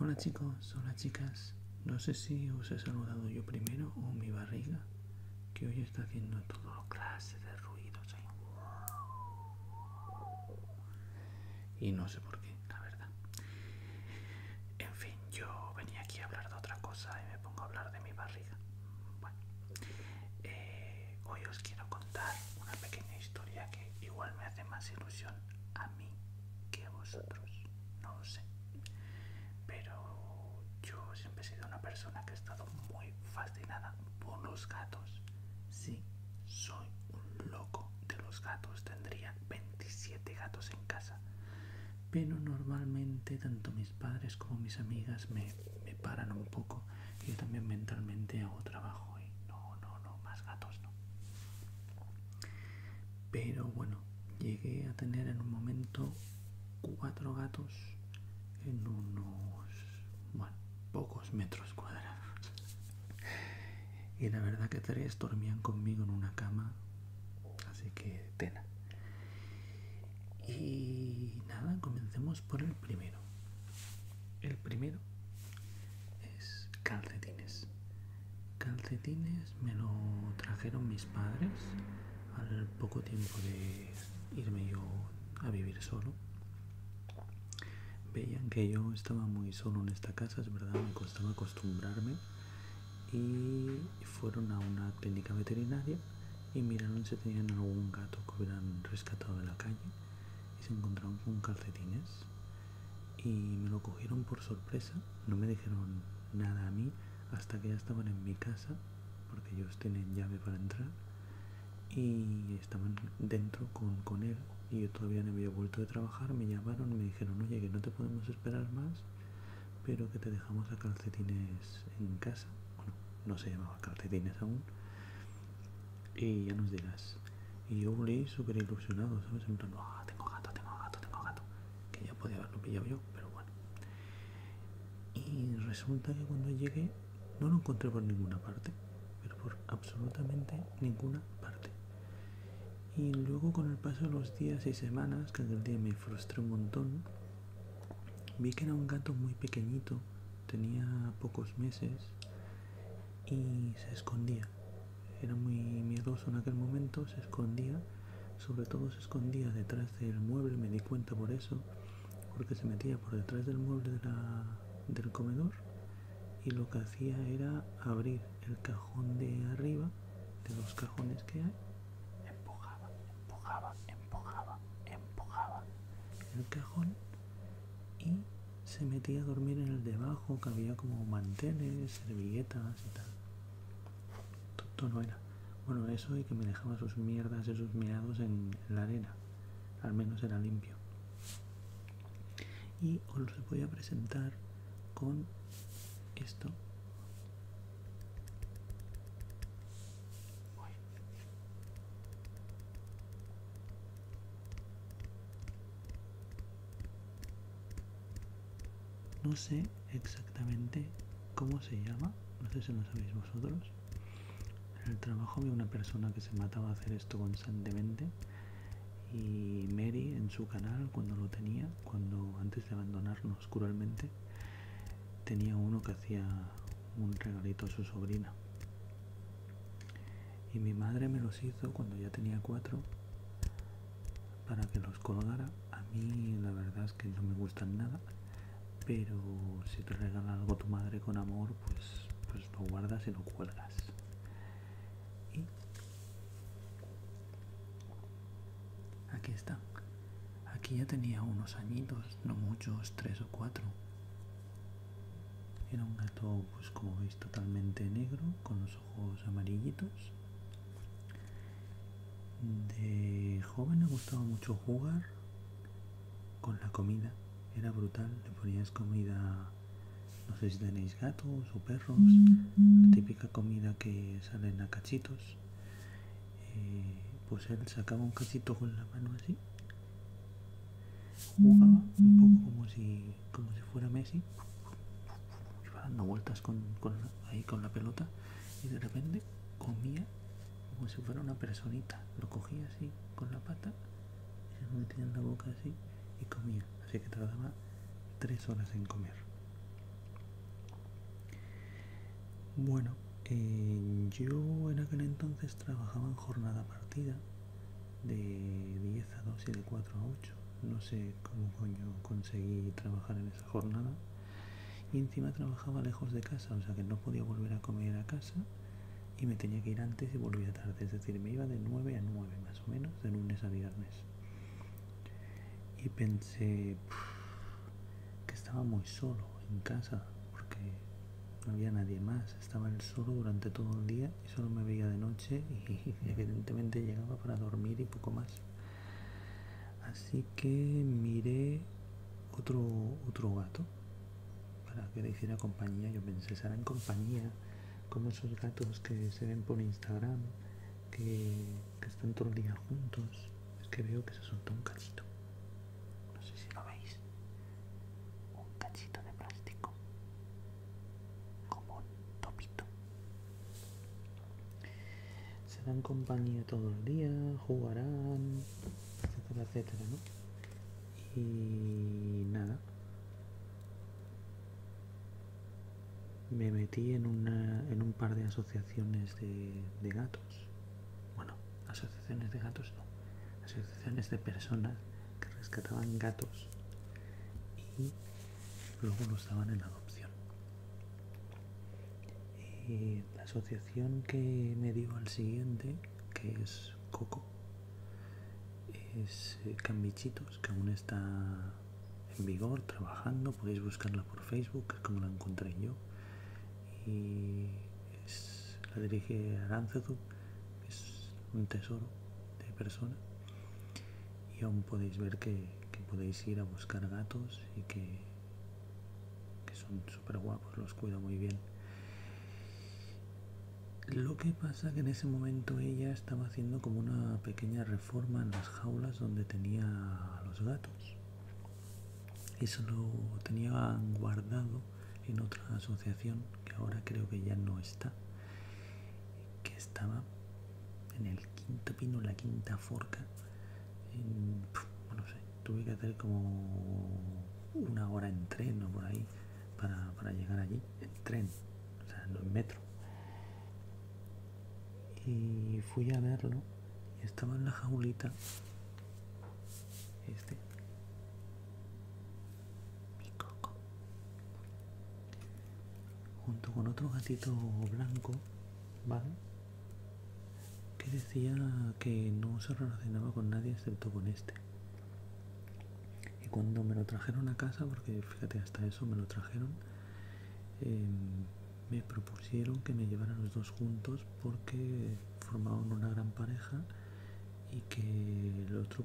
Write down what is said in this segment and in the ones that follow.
Hola chicos, hola chicas. No sé si os he saludado yo primero o mi barriga, que hoy está haciendo todo clase de ruidos ahí. Y no sé por qué, la verdad. En fin, yo venía aquí a hablar de otra cosa y me pongo a hablar de mi barriga. Bueno, eh, hoy os quiero contar una pequeña historia que igual me hace más ilusión a mí que a vosotros, no lo sé. Pero yo siempre he sido una persona que ha estado muy fascinada por los gatos. Sí, soy un loco de los gatos. Tendría 27 gatos en casa. Pero normalmente tanto mis padres como mis amigas me, me paran un poco. Yo también mentalmente hago trabajo y no, no, no, más gatos no. Pero bueno, llegué a tener en un momento cuatro gatos en unos pocos metros cuadrados. Y la verdad que tres dormían conmigo en una cama, así que tena. Y nada, comencemos por el primero. El primero es calcetines. Calcetines me lo trajeron mis padres al poco tiempo de irme yo a vivir solo. Veían que yo estaba muy solo en esta casa, es verdad, me costaba acostumbrarme. Y fueron a una clínica veterinaria y miraron si tenían algún gato que hubieran rescatado de la calle y se encontraron con calcetines y me lo cogieron por sorpresa, no me dijeron nada a mí hasta que ya estaban en mi casa, porque ellos tienen llave para entrar, y estaban dentro con, él, y yo todavía no había vuelto de trabajar, me llamaron, me dijeron, oye, que no te podemos esperar más, pero que te dejamos a calcetines en casa, bueno, no se llamaba calcetines aún, y ya nos dirás. Y yo leí súper ilusionado, ¿sabes? En ah, tengo gato, tengo gato, tengo gato. Que ya podía haberlo pillado yo, pero bueno. Y resulta que cuando llegué no lo encontré por ninguna parte, pero por absolutamente ninguna parte. Y luego con el paso de los días y semanas, que aquel día me frustré un montón, vi que era un gato muy pequeñito, tenía pocos meses y se escondía era muy miedoso en aquel momento, se escondía, sobre todo se escondía detrás del mueble, me di cuenta por eso, porque se metía por detrás del mueble del comedor y lo que hacía era abrir el cajón de arriba, de los cajones que hay, empujaba, empujaba, empujaba, empujaba el cajón y se metía a dormir en el debajo, que había como manteles, servilletas y tal. todo no era. Bueno, eso y que me dejaba sus mierdas y sus mirados en la arena. Al menos era limpio. Y os los voy a presentar con esto. No sé exactamente cómo se llama, no sé si lo sabéis vosotros. En el trabajo había una persona que se mataba a hacer esto constantemente y Mary en su canal cuando lo tenía, cuando antes de abandonarnos cruelmente, tenía uno que hacía un regalito a su sobrina y mi madre me los hizo cuando ya tenía cuatro para que los colgara. A mí la verdad es que no me gustan nada, pero si te regala algo tu madre con amor, pues, pues lo guardas y lo cuelgas. Y aquí está. Aquí ya tenía unos añitos, no muchos, tres o cuatro. Era un gato, pues como veis, totalmente negro, con los ojos amarillitos. De joven le gustaba mucho jugar con la comida. Era brutal, le ponías comida, no sé si tenéis gatos o perros, la típica comida que salen a cachitos. Eh, pues él sacaba un cachito con la mano así. Jugaba un poco como si como si fuera Messi iba dando vueltas con, con, ahí con la pelota y de repente comía como si fuera una personita lo cogía así con la pata y se lo metía en la boca así y comía así que tardaba tres horas en comer bueno eh, yo en aquel entonces trabajaba en jornada partida de 10 a 2 y de 4 a 8. No sé cómo coño conseguí trabajar en esa jornada. Y encima trabajaba lejos de casa, o sea que no podía volver a comer a casa y me tenía que ir antes y volvía tarde. Es decir, me iba de nueve a nueve más o menos, de lunes a viernes. Y pensé que estaba muy solo en casa porque no había nadie más. Estaba el solo durante todo el día y solo me veía de noche y evidentemente llegaba para dormir y poco más. Así que miré otro, otro gato para que le hiciera compañía. Yo pensé, será en compañía, como esos gatos que se ven por Instagram, que, que están todo el día juntos. Es que veo que se soltó un cachito. No sé si lo veis. Un cachito de plástico como un topito. Serán compañía todo el día, jugarán, etcétera, etcétera, ¿no? Y nada. Me metí en, en un par de asociaciones de, de gatos. Bueno, asociaciones de gatos no. Asociaciones de personas que rescataban gatos. Y luego no estaban en adopción. la asociación que me dio al siguiente, que es Coco, es eh, Cambichitos, que aún está en vigor, trabajando, podéis buscarla por Facebook, es como la encontré yo. Y la dirige Aranzazu, es un tesoro de persona y aún podéis ver que, podéis ir a buscar gatos y que, son súper guapos, los cuido muy bien. Lo que pasa que en ese momento ella estaba haciendo como una pequeña reforma en las jaulas donde tenía a los gatos. Eso lo tenía guardado en otra asociación que ahora creo que ya no está que estaba en el quinto pino, la quinta forca. no sé, tuve que hacer como una hora en tren o por ahí para, para llegar allí, en tren, o sea, en metro. Y fui a verlo y estaba en la jaulita. Este coco junto con otro gatito blanco vale que decía que no se relacionaba con nadie excepto con este y cuando me lo trajeron a casa porque fíjate hasta eso me lo trajeron em, me propusieron que me llevaran los dos juntos porque formaban una gran pareja y que el otro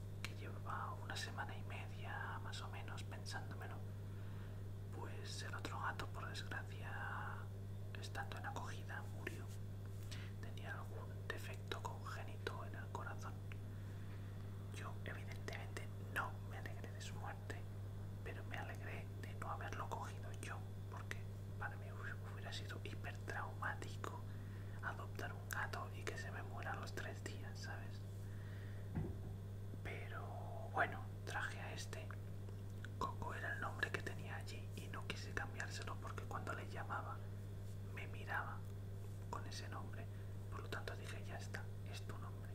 que llevaba una semana y media más o menos pensándomelo, pues el otro gato por desgracia estando en acogida murió. Tenía algún defecto congénito en el corazón. Yo evidentemente no me alegré de su muerte, pero me alegré de no haberlo cogido yo, porque para mí hubiera sido hipertraumático adoptar un gato y que se me muera los tres días, ¿sabes? Pero bueno, traje a este. Coco era el nombre que tenía allí y no quise cambiárselo porque cuando le llamaba me miraba con ese nombre. Por lo tanto dije, ya está, es tu nombre.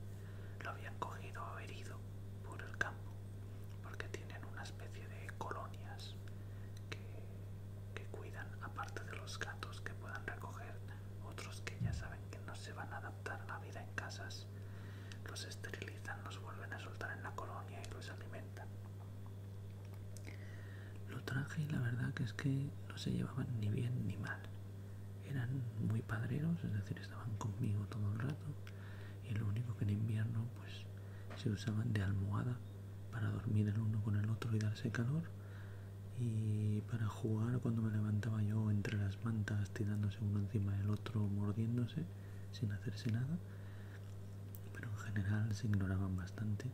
Lo habían cogido herido por el campo porque tienen una especie de colonias que, que cuidan, aparte de los gatos que puedan recoger otros que ya saben que no se van a adaptar a la vida en casas, los esterilizan, los vuelven a soltar en la colonia y los alimentan. Lo traje y la verdad que es que no se llevaban ni bien ni mal. Eran muy padreros, es decir, estaban conmigo todo el rato y lo único que en invierno pues se usaban de almohada para dormir el uno con el otro y darse calor y para jugar cuando me levantaba yo entre las mantas tirándose uno encima del otro mordiéndose sin hacerse nada pero en general se ignoraban bastante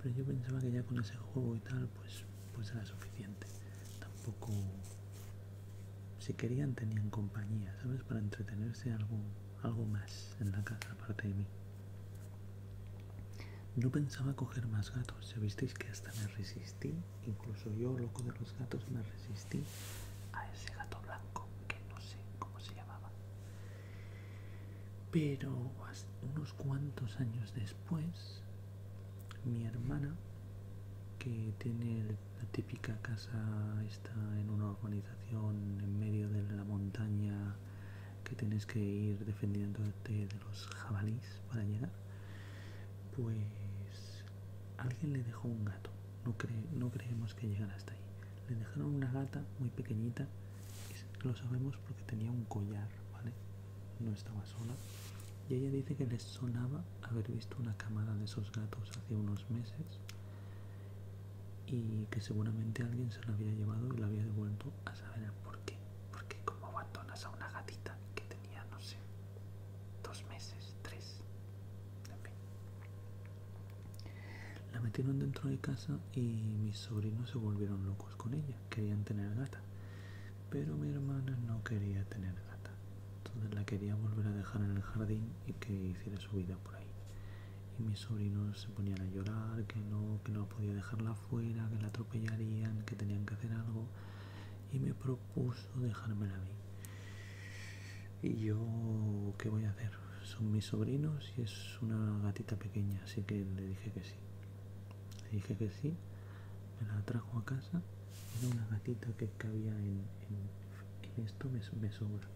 pero yo pensaba que ya con ese juego y tal pues pues era suficiente tampoco si querían tenían compañía sabes para entretenerse algo algo más en la casa aparte de mí no pensaba coger más gatos, ya visteis que hasta me resistí, incluso yo, loco de los gatos, me resistí a ese gato blanco, que no sé cómo se llamaba. Pero unos cuantos años después, mi hermana, que tiene la típica casa, está en una organización en medio de la montaña, que tienes que ir defendiéndote de los jabalís para llegar, pues alguien le dejó un gato. No, no creemos que llegara hasta ahí. Le dejaron una gata muy pequeñita, lo sabemos porque tenía un collar, ¿vale? No estaba sola. Y ella dice que le sonaba haber visto una camada de esos gatos hace unos meses y que seguramente alguien se la había llevado y la había devuelto a saber por ¿Por qué? Porque como abandonas a una gatita que tenía, no sé, dos meses, tres, en La metieron dentro de casa y mis sobrinos se volvieron locos con ella. Querían tener gata. Pero mi hermana no quería tener gata. Entonces la quería volver a dejar en el jardín y que hiciera su vida por ahí. Y mis sobrinos se ponían a llorar, que no, que no podía dejarla fuera, que la atropellarían, que tenían que hacer algo y me propuso dejármela la mí. Y yo, ¿qué voy a hacer? Son mis sobrinos y es una gatita pequeña, así que le dije que sí. Le dije que sí, me la trajo a casa, era una gatita que cabía en, esto, me, me sobra.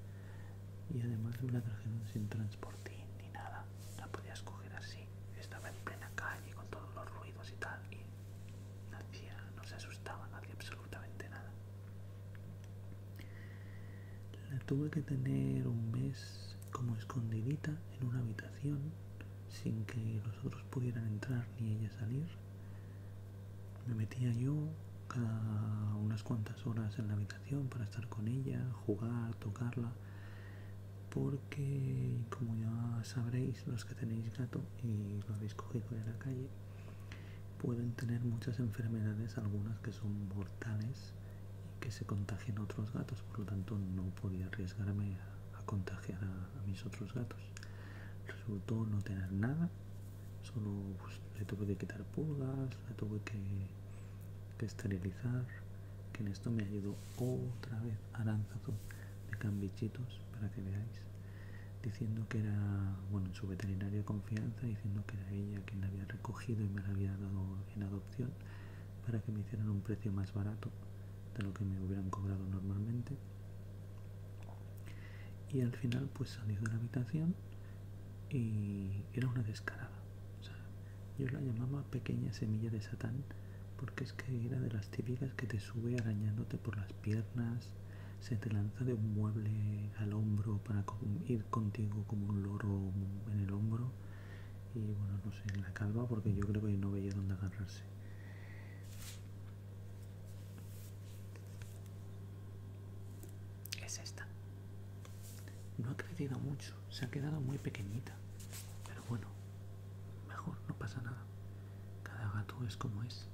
Y además me la trajeron sin transportín ni nada, la podía escoger así estaba en plena calle con todos los ruidos y tal y no, no se asustaba, nadie absolutamente nada. La tuve que tener un mes como escondidita en una habitación sin que los otros pudieran entrar ni ella salir. Me metía yo cada unas cuantas horas en la habitación para estar con ella, jugar, tocarla, porque como ya sabréis los que tenéis gato y lo habéis cogido en la calle pueden tener muchas enfermedades algunas que son mortales y que se contagian a otros gatos por lo tanto no podía arriesgarme a, contagiar a, mis otros gatos resultó no tener nada solo pues, le tuve que quitar pulgas le tuve que esterilizar que en esto me ayudó otra vez a Lanzazo de Cambichitos, para que veáis, diciendo que era, bueno, su veterinario de confianza, diciendo que era ella quien la había recogido y me la había dado en adopción para que me hicieran un precio más barato de lo que me hubieran cobrado normalmente. Y al final pues salió de la habitación y era una descarada. Yo la llamaba pequeña semilla de Satán porque es que era de las típicas que te sube arañándote por las piernas, se te lanza de un mueble al hombro para ir contigo como un loro en el hombro y bueno, no sé, en la calva porque yo creo que no veía dónde agarrarse. Es esta. No ha crecido mucho se ha quedado muy pequeñita. Pero bueno, mejor, no pasa nada. Cada gato es como es.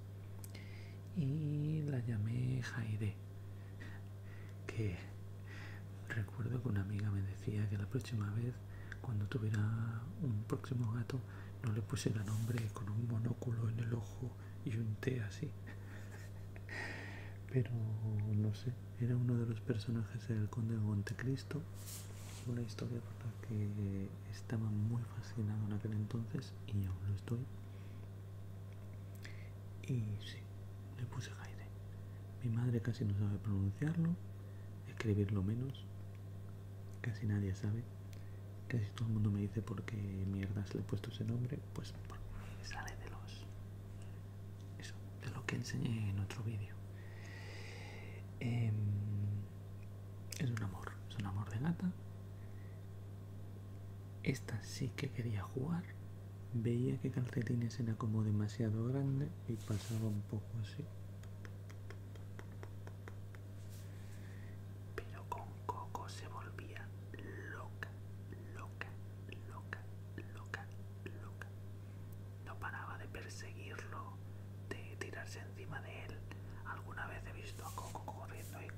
Y la llamé Jaide, que recuerdo que una amiga me decía que la próxima vez, cuando tuviera un próximo gato, no le pusiera nombre con un monóculo en el ojo y un té así. Pero no sé, era uno de los personajes del Conde de Montecristo una historia por la que estaba muy fascinado en aquel entonces y aún lo estoy. Y sí, le puse Jaide. Mi madre casi no sabe pronunciarlo, escribirlo menos, casi nadie sabe. Casi todo el mundo me dice por qué mierdas le he puesto ese nombre, pues sale de los... Eso, de lo que enseñé en otro vídeo. Em, es un amor, es un amor de gata. Esta sí que quería jugar. Veía que calcetines era como demasiado grande y pasaba un poco así. Pero con Coco se volvía loca, loca, loca, loca, loca. No paraba de perseguirlo, de tirarse encima de él. Alguna vez he visto a Coco corriendo y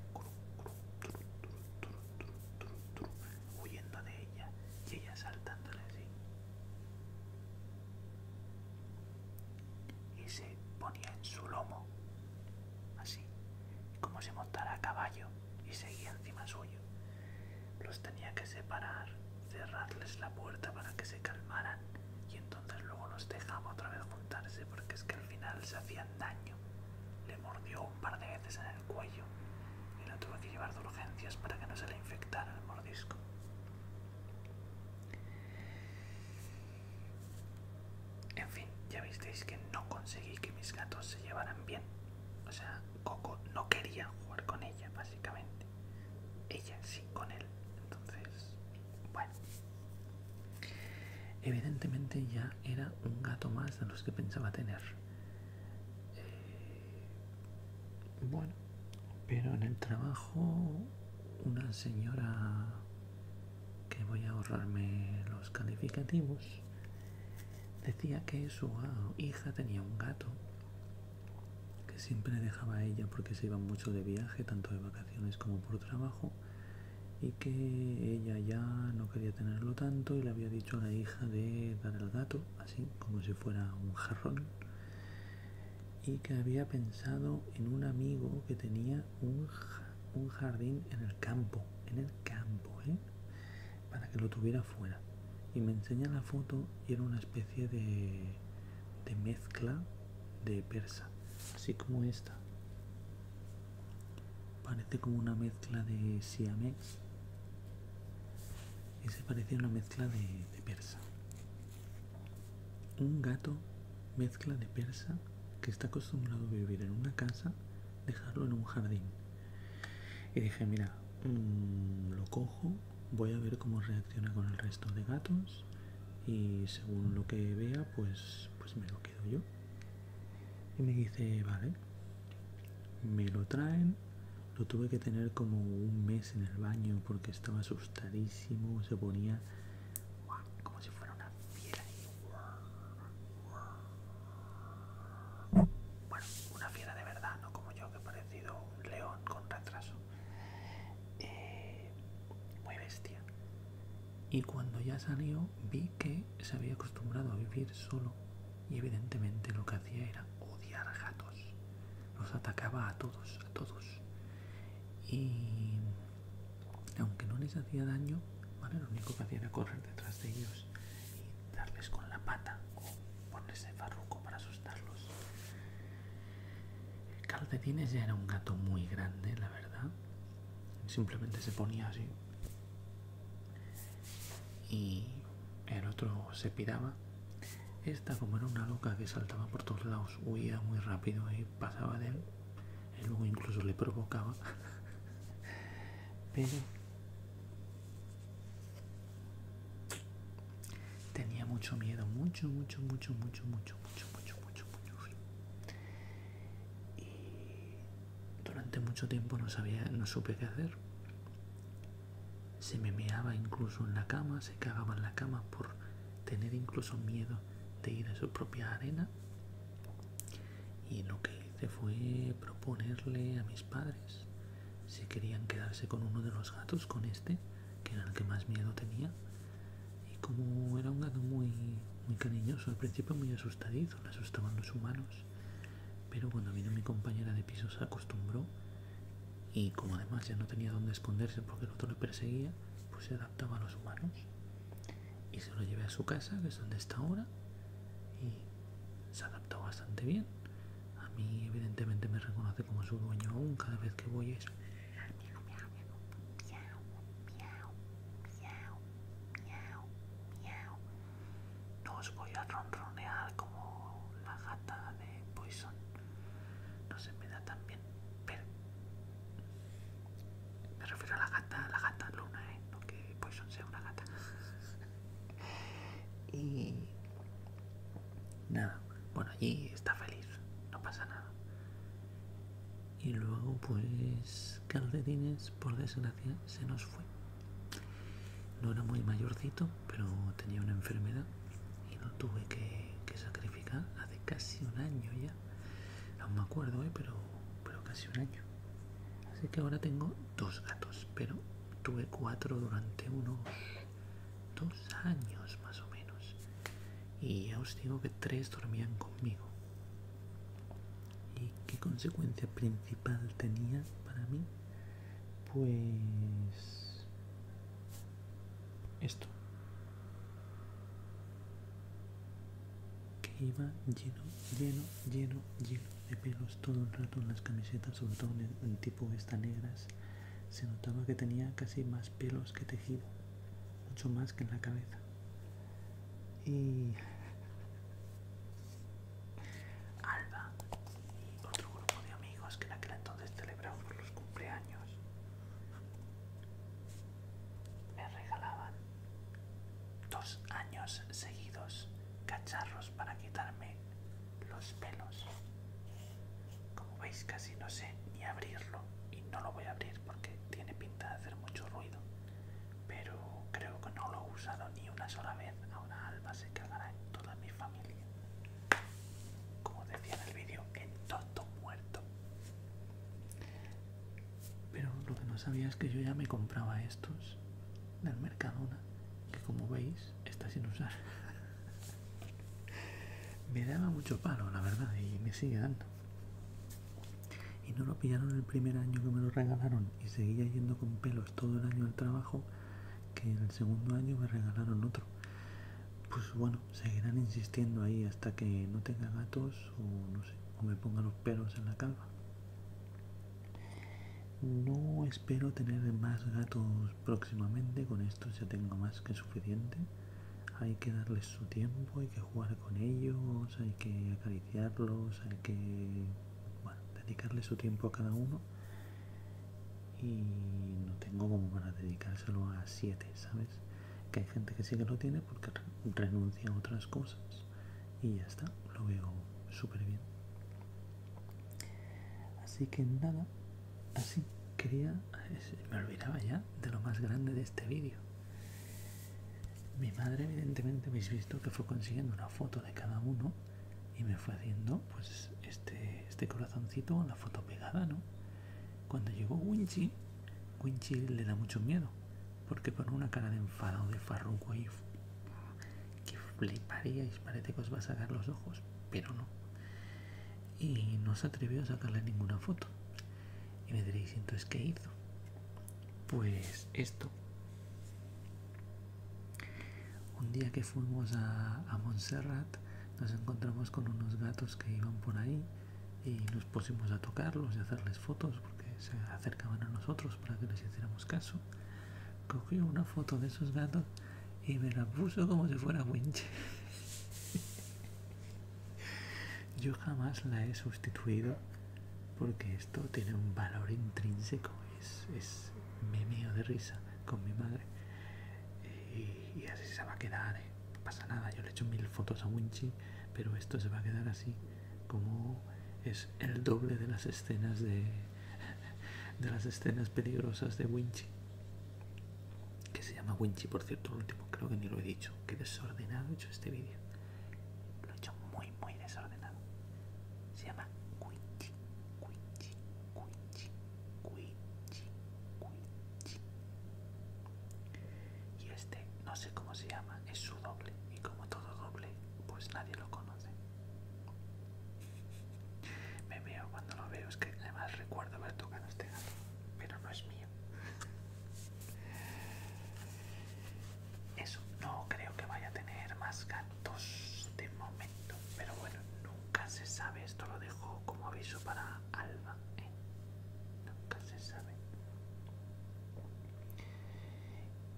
huyendo de ella y ella saltándole así. Y se ponía en su lomo, así, como si montara a caballo y seguía encima suyo. Los tenía que separar cerrarles la puerta para que se calmaran y entonces luego los dejaba otra vez juntarse porque es que al final se hacían daño. Le mordió un par de veces en el cuello y la tuve que llevar de urgencias para que no se le infectara el mordisco. En fin, ya visteis que no conseguí que mis gatos se llevaran bien. O sea, Coco no quería jugar con ella, básicamente ella sí con él. Entonces, bueno. Evidentemente ya era un gato más de los que pensaba tener. Eh, bueno, pero en el trabajo una señora que voy a ahorrarme los calificativos decía que su hija tenía un gato que siempre dejaba a ella porque se iba mucho de viaje, tanto de vacaciones como por trabajo, y que ella ya no quería tenerlo tanto y le había dicho a la hija de dar el gato, así como si fuera un jarrón, y que había pensado en un amigo que tenía un, jardín en el campo, en el campo, ¿eh? para que lo tuviera fuera. Y me enseña la foto y era una especie de de mezcla de persa, así como esta. Parece como una mezcla de siamex y se parece una mezcla de, persa. Un gato mezcla de persa que está acostumbrado a vivir en una casa, dejarlo en un jardín. Y dije, mira, mm, lo cojo voy a ver cómo reacciona con el resto de gatos y según lo que vea pues, pues me lo quedo yo. Y me dice, vale, me lo traen, lo tuve que tener como un mes en el baño porque estaba asustadísimo, se ponía como si fuera una fiera. Bueno, una fiera de verdad, no como yo que he parecido un león con retraso. Eh, muy bestia. Y cuando ya salió vi que se había acostumbrado a vivir solo y evidentemente lo que hacía era odiar gatos. Los atacaba a todos, a todos. Y aunque no les hacía daño, lo único que hacía era correr detrás de ellos y darles con la pata o ponerse farruco para sus de Calcetines ya era un gato muy grande, la verdad. Simplemente se ponía así. Y el otro se piraba. Esta, como era una loca que saltaba por todos lados, huía muy rápido y pasaba de él. Y luego incluso le provocaba. Pero Tenía mucho miedo, mucho, mucho, mucho, mucho, mucho, mucho, mucho, mucho, mucho Y durante mucho tiempo no sabía, no supe qué hacer. Se me meaba incluso en la cama, se cagaba en la cama por tener incluso miedo de ir a su propia arena. Y lo que hice fue proponerle a mis padres si querían quedarse con uno de los gatos, con este, que era el que más miedo tenía. Y como era un gato muy, muy cariñoso, al principio muy asustadizo, le asustaban los humanos. Pero cuando vino mi compañera de piso se acostumbró y como además ya no tenía dónde esconderse porque el otro le perseguía, pues se adaptaba a los humanos. Y se lo llevé a su casa, que es donde está ahora, y se adaptó bastante bien. A mí, evidentemente, me reconoce como su dueño aún cada vez que voy es. No os voy a ronronear como la gata de Poison. No se me da tan bien, pero. Me refiero a la gata, la gata luna, ¿eh? No que Poison sea una gata. y nada. Bueno, allí está feliz, no pasa nada. Y luego, pues, Calcetines, por desgracia, se nos fue. No era muy mayorcito, pero tenía una enfermedad y lo tuve que, sacrificar hace casi un año ya. Aún me acuerdo, ¿eh? pero, pero casi un año. Así que ahora tengo dos gatos, pero tuve cuatro durante uno dos años más o menos. Y ya os digo que tres dormían conmigo. ¿Y qué consecuencia principal tenía para mí? Pues... Esto. Que iba lleno, lleno, lleno, lleno de pelos todo el rato en las camisetas, sobre todo en tipo esta, negras se notaba que tenía casi más pelos que tejido, mucho más que en la cabeza. Y Alba y otro grupo de amigos que en aquel entonces celebraban los cumpleaños me regalaban dos años seguidos cacharros para quitarme los pelos. Como veis casi no sé ni abrirlo y no lo voy a abrir porque tiene pinta de hacer mucho ruido. Pero creo que no lo he usado ni una sola vez. Ahora Alba se cagará en toda mi familia. Como decía en el vídeo, en todo muerto. Pero lo que no sabía es que yo ya me compraba estos del Mercadona, que como veis está sin usar. me daba mucho palo, la verdad, y me sigue dando. Y no lo pillaron el primer año que me lo regalaron y seguía yendo con pelos todo el año al trabajo, que en el segundo año me regalaron otro. Pues bueno, seguirán insistiendo ahí hasta que no tenga gatos o no sé, o me ponga los pelos en la calva. No Espero tener más gatos próximamente, con estos ya tengo más que suficiente. Hay que darles su tiempo, hay que jugar con ellos, hay que acariciarlos, hay que bueno, dedicarle su tiempo a cada uno. Y no tengo como para dedicárselo a siete, ¿sabes? Que hay gente que sí que lo tiene porque renuncia a otras cosas. Y ya está, lo veo súper bien. Así que nada, así quería, me olvidaba ya de lo más grande de este vídeo. Mi madre evidentemente habéis visto que fue consiguiendo una foto de cada uno y me fue haciendo pues este, este corazoncito con la foto pegada, ¿no? Cuando llegó Winchi, Winchi le da mucho miedo, porque pone una cara de enfadado de farruco y que fliparíais, parece que os va a sacar los ojos, pero no y no se atrevió a sacarle ninguna foto. Y me diréis, entonces, ¿qué hizo? Pues esto. Un día que fuimos a, Montserrat, nos encontramos con unos gatos que iban por ahí y nos pusimos a tocarlos y a hacerles fotos porque se acercaban a nosotros para que les hiciéramos caso. Cogió una foto de esos gatos y me la puso como si fuera Winchi Yo jamás la he sustituido porque esto tiene un valor intrínseco, es, es de risa con mi madre. Y, así se va a quedar, ¿eh? no pasa nada, yo le he hecho mil fotos a Winchi, pero esto se va a quedar así, como es el doble de las escenas de, de las escenas peligrosas de Winchi que se llama Winchi, por cierto, último creo que ni lo he dicho, que desordenado he hecho este vídeo, lo he hecho muy, muy desordenado, se llama Winchi, Winchi, Winchi, Winchi, Winchi, y este no sé cómo se llama, es su doble, y como todo doble, pues nadie lo conoce. Me veo cuando lo veo, es que además recuerdo haber tocado este gato, pero no es mío. Eso, no creo que vaya a tener más gatos de momento, pero bueno, nunca se sabe, esto lo dejo como aviso para Alba, ¿eh? nunca se sabe.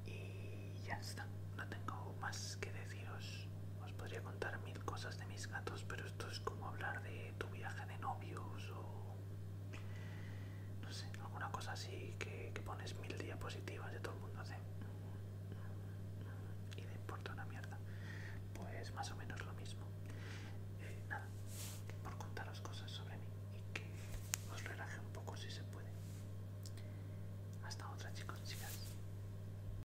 Y ya está, no tengo más que deciros. Os podría contar mil cosas de mis gatos, pero esto es como hablar de tu viaje de novios o... No sé, alguna cosa así que, pones mil diapositivas de todo el mundo hace. Y le importa una mierda. Pues más o menos lo mismo. Eh, nada, por contaros cosas sobre mí y que os relaje un poco si se puede. Hasta otra chicos, chicas.